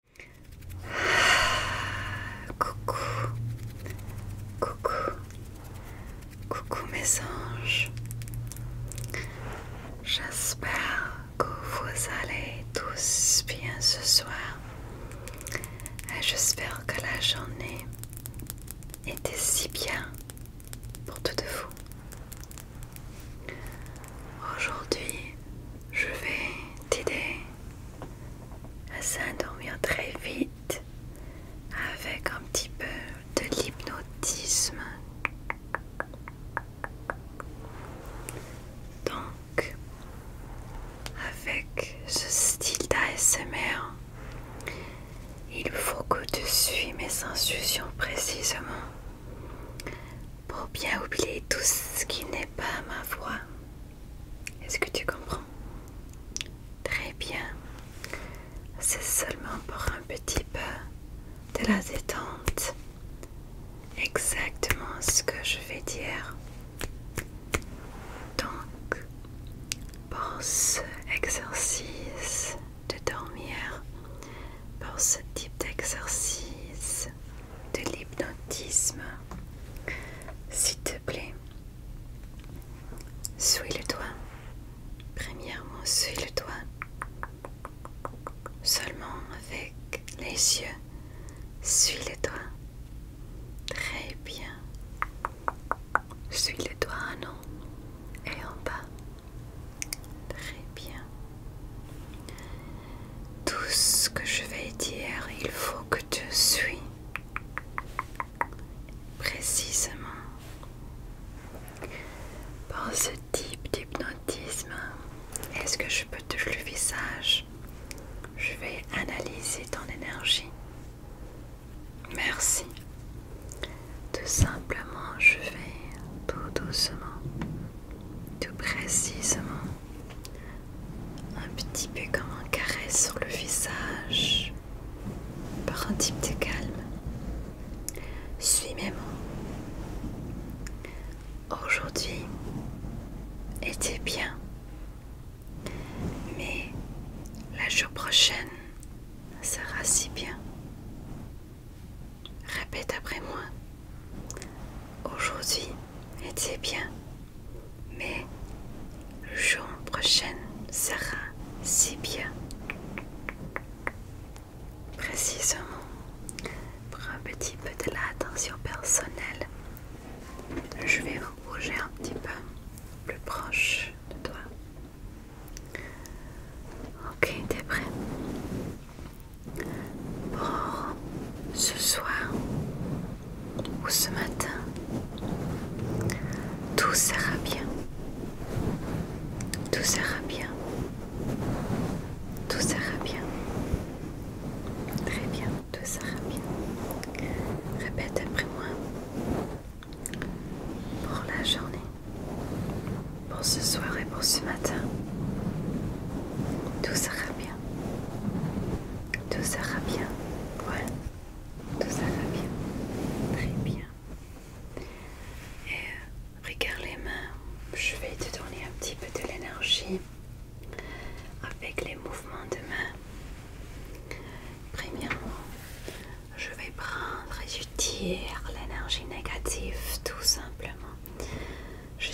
coucou, coucou, coucou mes anges. J'espère que vous allez tous bien ce soir. Et j'espère que la journée était si bien pour toutes vous. Aujourd'hui, je vais t'aider à s'endormir très vite avec un petit peu de l'hypnotisme. Donc, avec ce style d'ASMR, il faut que tu suis mes instructions précisément pour bien oublier tout ce qui n'est pas ma voix. Est-ce que tu comprends Très bien. C'est seulement pour un petit peu de la détente. Exactement ce que je vais dire. Donc, pour ce exercice de dormir, pour ce type d'exercice de l'hypnotisme. S'il te plaît, suis le doigt. Premièrement, suis le doigt. Seulement avec les yeux, suis le doigt. Très bien. Suis le doigt en et en bas. Très bien. Tout ce que je vais dire, il faut que tu suis précisément. Par ce type d'hypnotisme, est-ce que je peux toucher le visage Je vais analyser ton énergie. Merci. Tout simplement, je vais tout doucement tout précisément, un petit peu comme un carré sur le visage, par un type de calme. Suis mes Aujourd'hui était bien, mais la jour prochaine sera si bien. Répète après moi. Aujourd'hui était bien, mais le jour prochain sera si bien. Précisément, pour un petit peu de l'attention personnelle, je vais bouger un petit peu plus proche de toi. Ok, t'es prêt pour ce soir ou ce matin, tout sera bien. Tout sera bien. Tout sera bien. Très bien, tout sera bien. Répète après moi. Pour la journée, pour ce soir et pour ce matin, tout sera bien. Tout sera bien. ouais, Tout sera bien. Très bien. Et euh, regarde les mains. Je vais te donner un petit peu de l'énergie avec les mouvements de main. Premièrement, je vais prendre et je tire l'énergie négative tout simplement.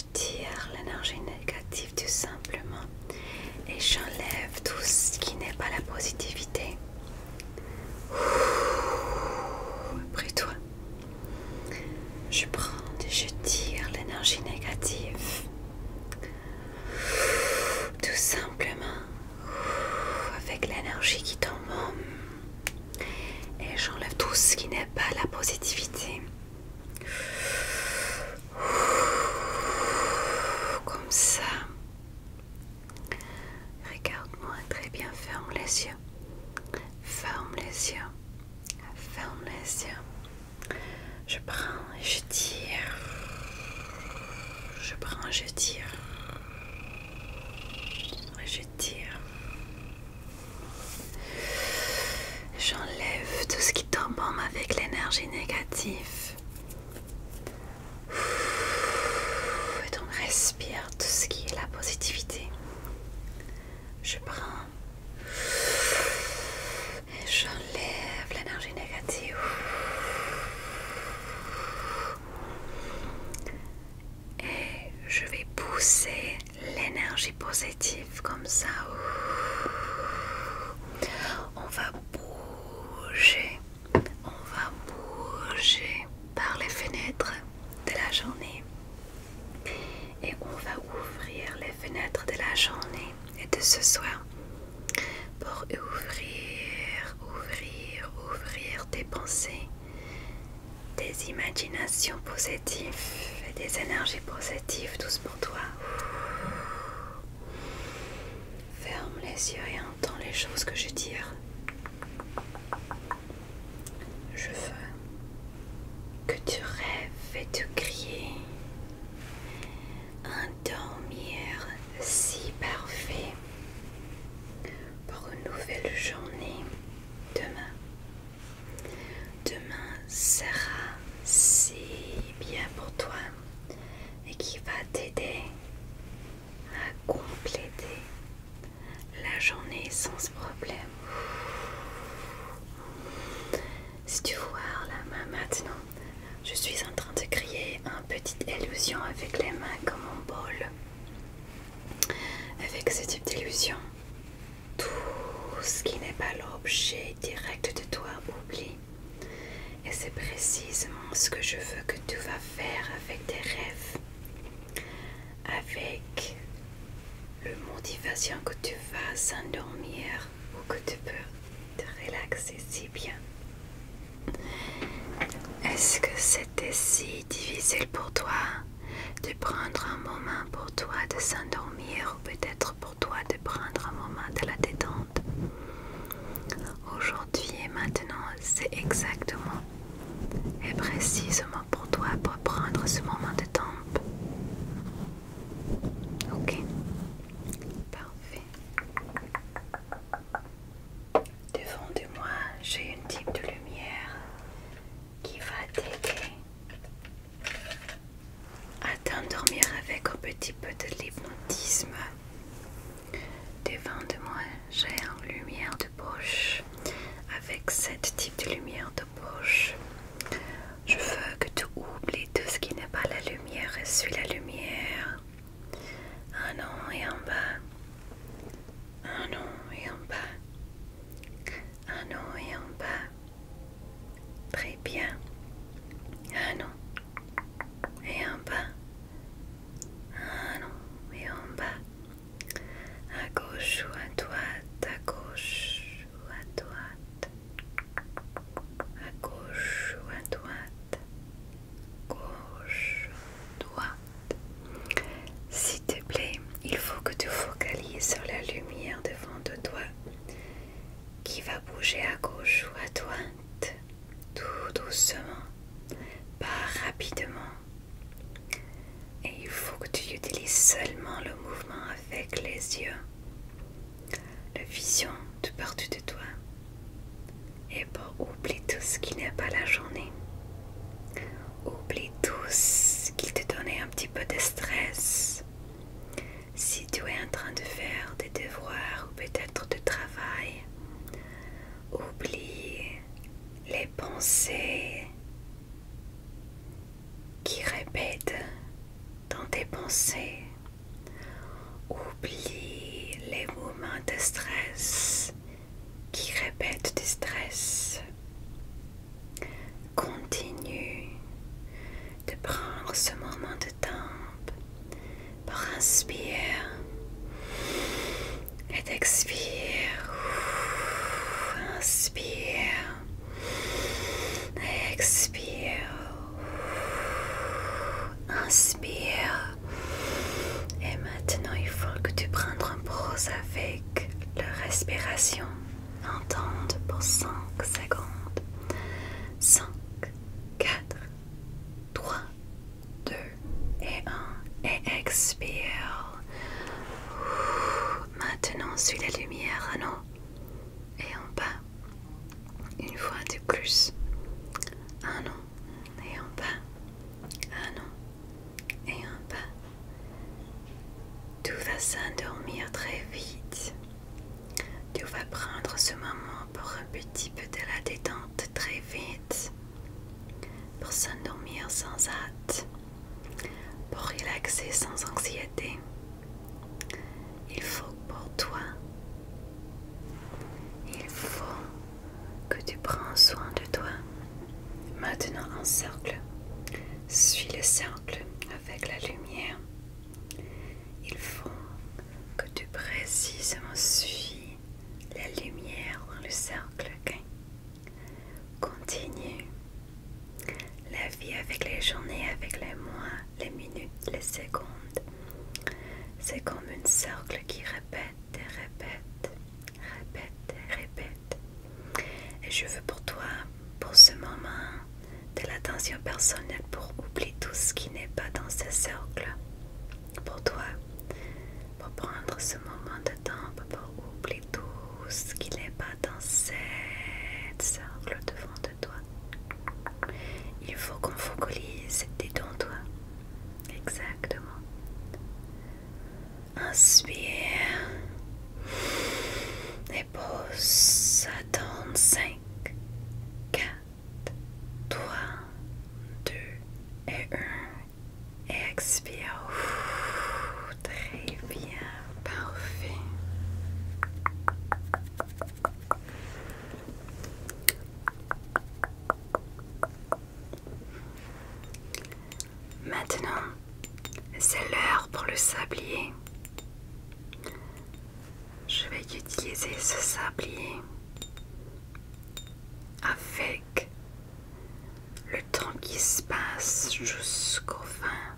Je tire l'énergie négative tout simplement et j'enlève tout ce qui n'est pas la positivité. Après toi, je prends et je tire l'énergie négative. Tout simplement avec l'énergie qui tombe et j'enlève tout ce qui n'est pas la positivité. Comme ça. Regarde-moi très bien, ferme les yeux. Ferme les yeux. Ferme les yeux. Je prends et je tire. Je prends et je tire. Je tire. J'enlève tout ce qui tombe avec l'énergie négative. Et donc respire tout ce qui est la positivité. Je prends et j'enlève l'énergie négative. Et je vais pousser l'énergie positive comme ça. On va bouger, on va bouger par les fenêtres de la journée et on va ouvrir les fenêtres de la journée et de ce soir pour ouvrir, ouvrir, ouvrir tes pensées des imaginations positives et des énergies positives, tous pour toi. Ferme les yeux et entends les choses que je tire. Je veux que tu rêves et tu crées un dormir si parfait pour une nouvelle journée demain. Demain sera si bien pour toi et qui va t'aider à compléter la journée sans problème. Si tu vois la main maintenant, je suis en train de créer une petite illusion avec les mains comme un bol. Avec ce type d'illusion, tout ce qui n'est pas l'objet direct de toi oublie. Et c'est précisément ce que je veux que tu vas faire avec tes rêves, avec le motivation que tu vas s'endormir ou que tu peux te relaxer si bien. Est-ce que c'était si difficile pour toi de prendre un moment pour toi de s'endormir ou peut-être pour toi de prendre un moment de la détente. Aujourd'hui et maintenant, c'est exactement et précisément pour toi pour prendre ce moment de temps Ok, parfait. Devant de moi, j'ai une type de lumière qui va t'aider à t'endormir avec un petit peu de l'hypnotisme. Devant de moi, j'ai une lumière de poche. Avec cette type de lumière de poche, je veux que tu oublies tout ce qui n'est pas la lumière. et Suis la lumière. Un an et en bas. Un an et en bas un non et en bas. Très bien. Un non et en bas. Un non et en bas. À gauche ou à droite, à gauche ou à droite. À gauche ou à droite. Gauche, droite. S'il te plaît, il faut que tu focalises sur la lumière devant de toi qui va bouger à gauche ou à droite, tout doucement, pas rapidement. Et il faut que tu utilises seulement le mouvement avec les yeux, la vision de partout de toi. Et pour oublier tout ce qui n'est pas la journée. Oublie tous qu'il te donnait un petit peu de stress. Si tu es en train de faire des devoirs ou peut-être de travail, oublie les pensées qui répètent dans tes pensées. Oublie les moments de stress qui répète des stress continue de prendre ce moment de temps pour et expire, inspire et expire inspire et maintenant il faut que tu prennes un pause avec le leur respiration entende pour 5 secondes. 5, 4, 3, 2 et 1. Et expire. Maintenant, suis la lumière Un an et en bas. Une fois de plus. Un an et en bas. Un an et un bas, Tu va s'endormir très vite. Tu vas prendre ce moment pour un petit peu de la détente très vite. Pour s'endormir sans hâte. Pour relaxer sans anxiété. Il faut pour toi. Il faut que tu prends soin de toi. Maintenant en cercle, suis le cercle avec la lumière. Il faut que tu précisément suis la lumière dans le cercle. Continue. La vie avec les journées, avec les mois, les minutes, les secondes. C'est comme un cercle qui répète répète, répète, répète, répète. Et je veux pour toi, pour ce moment, de l'attention personnelle pour oublier tout ce qui n'est pas dans ce cercle. Pour toi, pour prendre ce moment de temps, pour oublier tout ce qui n'est pas dans ce cercle devant de toi. Il faut qu'on focalise donc toi. Exactement. Inspire. Et pousse. donne 5, 4, 3, 2 et 1. Et expire. très bien. Parfait. Maintenant, c'est l'heure pour le sablier. Je vais utiliser ce sablier avec le temps qui se passe jusqu'au fin.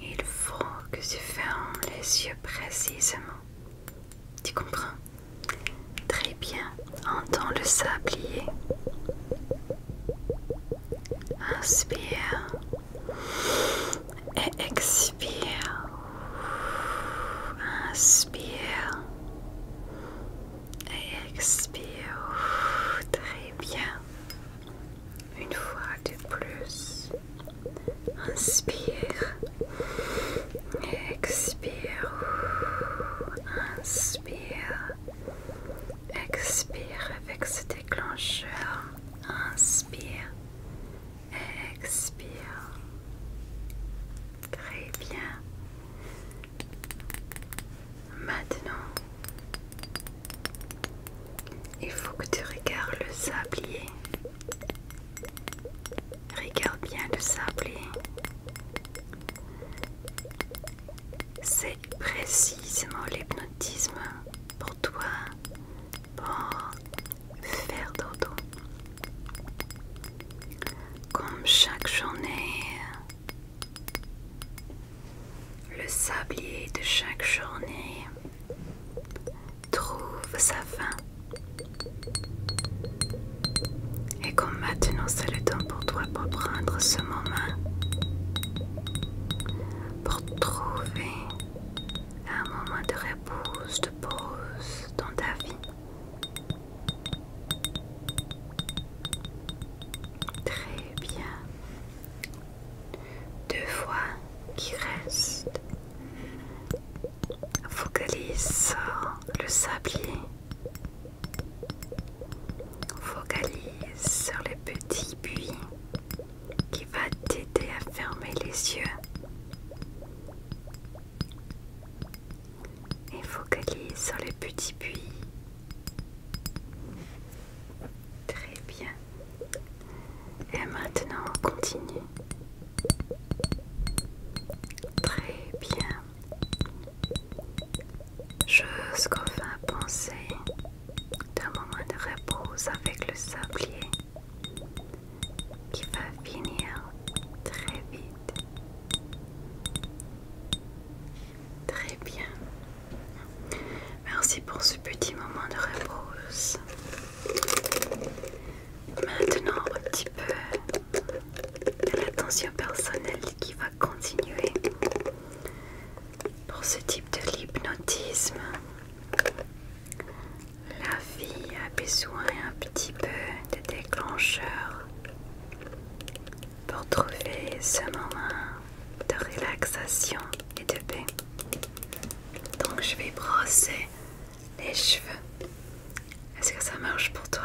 Il faut que tu fermes les yeux précisément. Tu comprends Très bien, entends le sablier. Inspire et expire. Inspire et expire. Très bien. Une fois de plus. Inspire Expire. Inspire. Expire avec ce déclencheur. Inspire. Expire. Très bien. Maintenant, il faut que tu regardes le sablier. Regarde bien le sablier. C'est précisément l'hypnotisme pour toi, pour faire dodo. Comme chaque journée, le sablier de chaque journée trouve sa fin. Et comme maintenant c'est le temps pour toi pour prendre ce moment, pour trouver un moment de repos, de pause dans ta vie. Très bien. Deux fois qui restent. Focalise sur le sablier Focalise sur les petits buis qui va t'aider à fermer les yeux. Et focalise sur les petits buis. Très bien. Et maintenant, on continue. Très bien. Jusqu'au fin pensée d'un moment de repose avec le sablier qui va finir très vite. Très bien. Merci pour ce petit moment de repose. Maintenant, un petit peu de l'attention personnelle qui va continuer pour ce type de l'hypnotisme. La vie a besoin un petit peu de déclencheur pour trouver ce moment de relaxation et de paix. Donc je vais brosser les cheveux. Est-ce que ça marche pour toi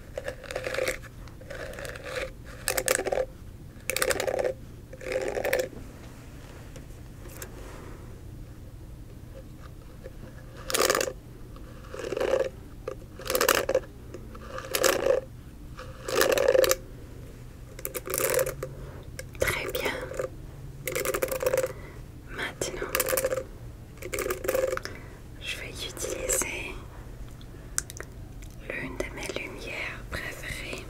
Très bien. Maintenant, je vais utiliser l'une de mes lumières préférées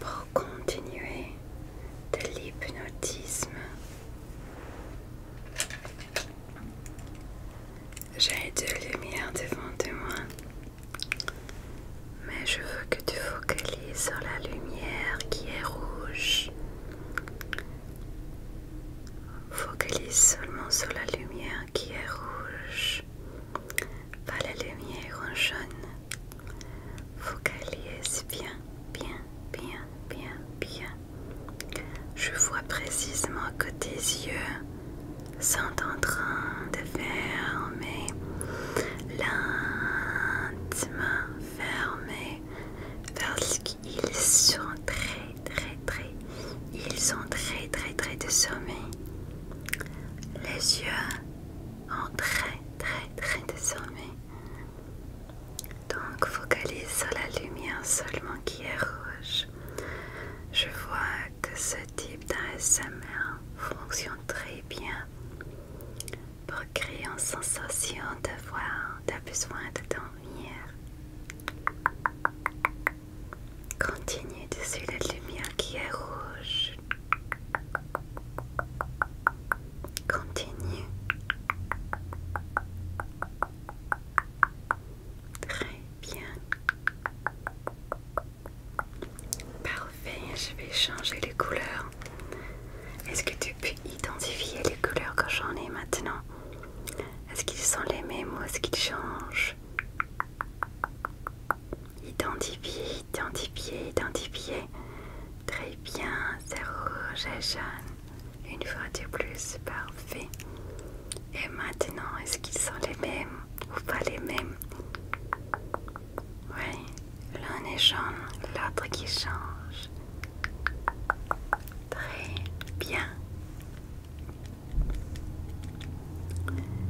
pour continuer de l'hypnotisme. J'ai deux lumières devant de moi, mais je veux que tu focalises sur la lumière qui est rouge. Focalise seulement sur la lumière qui est rouge, pas la lumière en jaune. Focalise bien, bien, bien, bien, bien. Je vois précisément que tes yeux sont en train de fermer, lentement fermer, parce qu'ils sont très très très. Ils sont très très très de sommeil. Les yeux ont très très très de sommeil. Donc focalise sur la lumière seulement qui est rouge. Je vois que ce type d'ASMR fonctionne très bien pour créer une sensation d'avoir, besoin de dormir. Continue dessus la lumière qui est rouge. Continue. Très bien. Parfait, je vais changer les couleurs. Est-ce que tu peux identifier les couleurs que j'en ai maintenant Est-ce qu'ils sont les mêmes ou est-ce qu'ils changent Identifier, identifier, identifier. Très bien, c'est rouge et jaune. Une fois de plus, parfait. Et maintenant, est-ce qu'ils sont les mêmes ou pas les mêmes Oui, l'un est jaune, l'autre qui change. Très bien.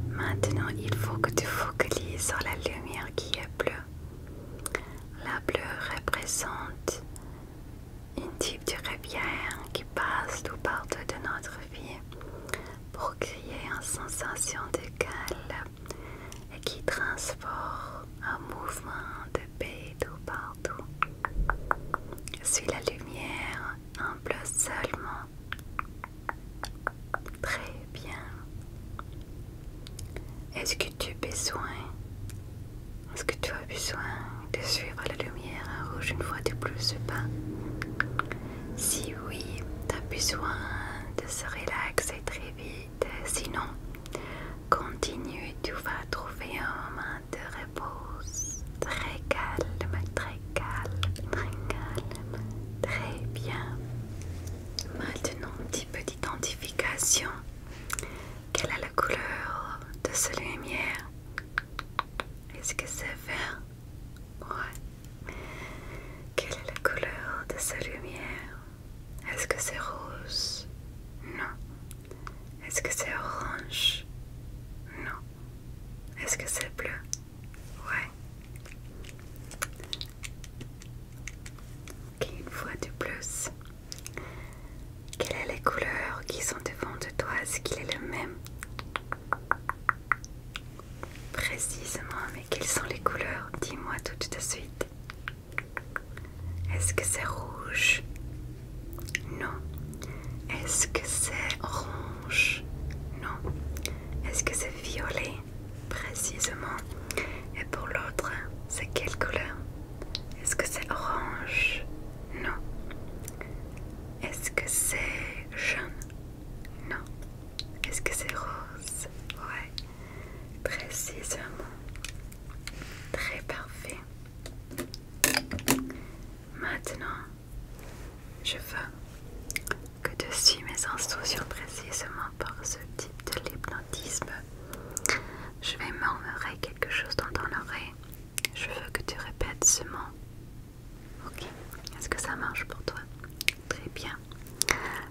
Maintenant, il faut que tu focalises sur la lumière qui est bleue. La bleue représente une type de rivière qui passe tout partout de notre vie pour créer une sensation de calme et qui transporte un mouvement de paix tout partout. Suis la lumière plus seulement. Très bien. Est-ce que tu as besoin Est-ce que tu as besoin de suivre la lumière rouge une fois de plus ou pas Si oui, tu as besoin de se relaxer très vite. Sinon, continue, tu vas trouver un moment de très calme, très calme, très calme, très bien. Maintenant, petit peu d'identification. Quelle est la couleur de cette lumière Est-ce que c'est vert Ouais. Quelle est la couleur de cette lumière Est-ce que c'est rose Non. Est-ce que c'est orange Non. Est-ce que c'est bleu Ouais. Ok, une fois de plus. Quelles sont les couleurs qui sont devant de toi Est-ce qu'il est le même Précisément, mais quelles sont les couleurs Dis-moi tout de suite. Est-ce que c'est rouge non. Est-ce que c'est orange Non. Est-ce que c'est violet Précisément. Et pour l'autre, c'est quelle couleur Est-ce que c'est orange Non. Est-ce que c'est jaune Non. Est-ce que c'est rose Ouais. Précisément. Très parfait. Maintenant, je veux que tu suives mes instructions précisément par ce type de l'hypnotisme. Je vais murmurer quelque chose dans ton oreille. Je veux que tu répètes ce mot. Ok, est-ce que ça marche pour toi Très bien.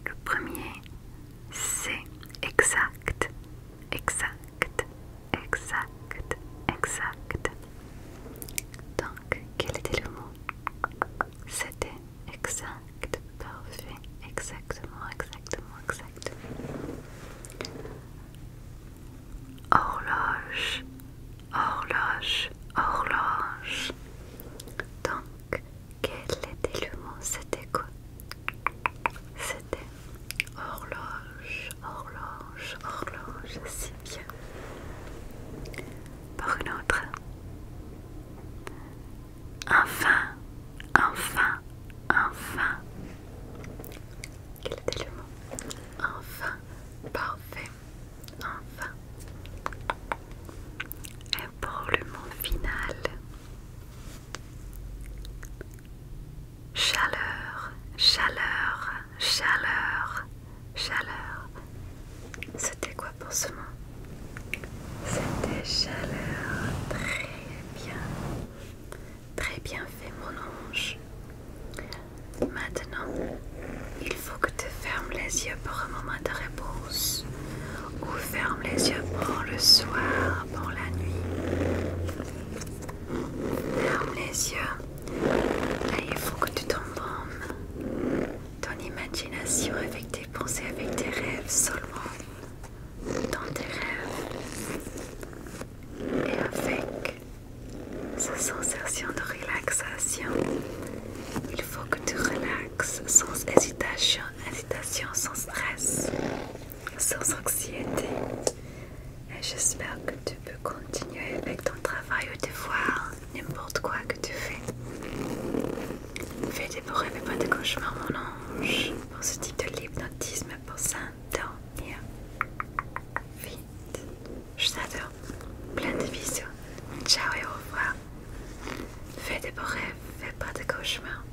Le premier, c'est exact. Exact exact, exact, exact. Donc, quel était le mot C'était exact, parfait, exactement, exactement, exactement. Horloge, horloge, horloge. Donc, quel était le mot C'était quoi horloge, horloge, horloge, si bien. Pour une autre. Enfin, enfin, enfin. Quel était le mot Enfin, parfait, enfin. Et pour le mot final, Chaleur, chaleur, chaleur, chaleur. C'était quoi pour ce mot C'était chaleur. Très bien. Très bien fait mon ange. Maintenant, il faut que tu fermes les yeux pour un moment de réponse. Ou ferme les yeux pour le soir, pour la nuit. Ferme les yeux. il faut que tu t'embaumes. Ton imagination avec tes pensées, avec tes rêves seulement. Dans tes rêves. Et avec cette sensation de relaxation. Il faut que tu relaxes sans hésitation, hésitation sans stress sans anxiété. Et j'espère que tu peux continuer avec ton travail ou tes voir n'importe quoi que tu fais. Fais des beaux rêves et pas de cauchemars, mon ange, pour ce type de l'hypnotisme pour s'endormir. Vite. Je t'adore. Plein de bisous. Ciao et au revoir. Fais des beaux rêves, fais pas de cauchemars.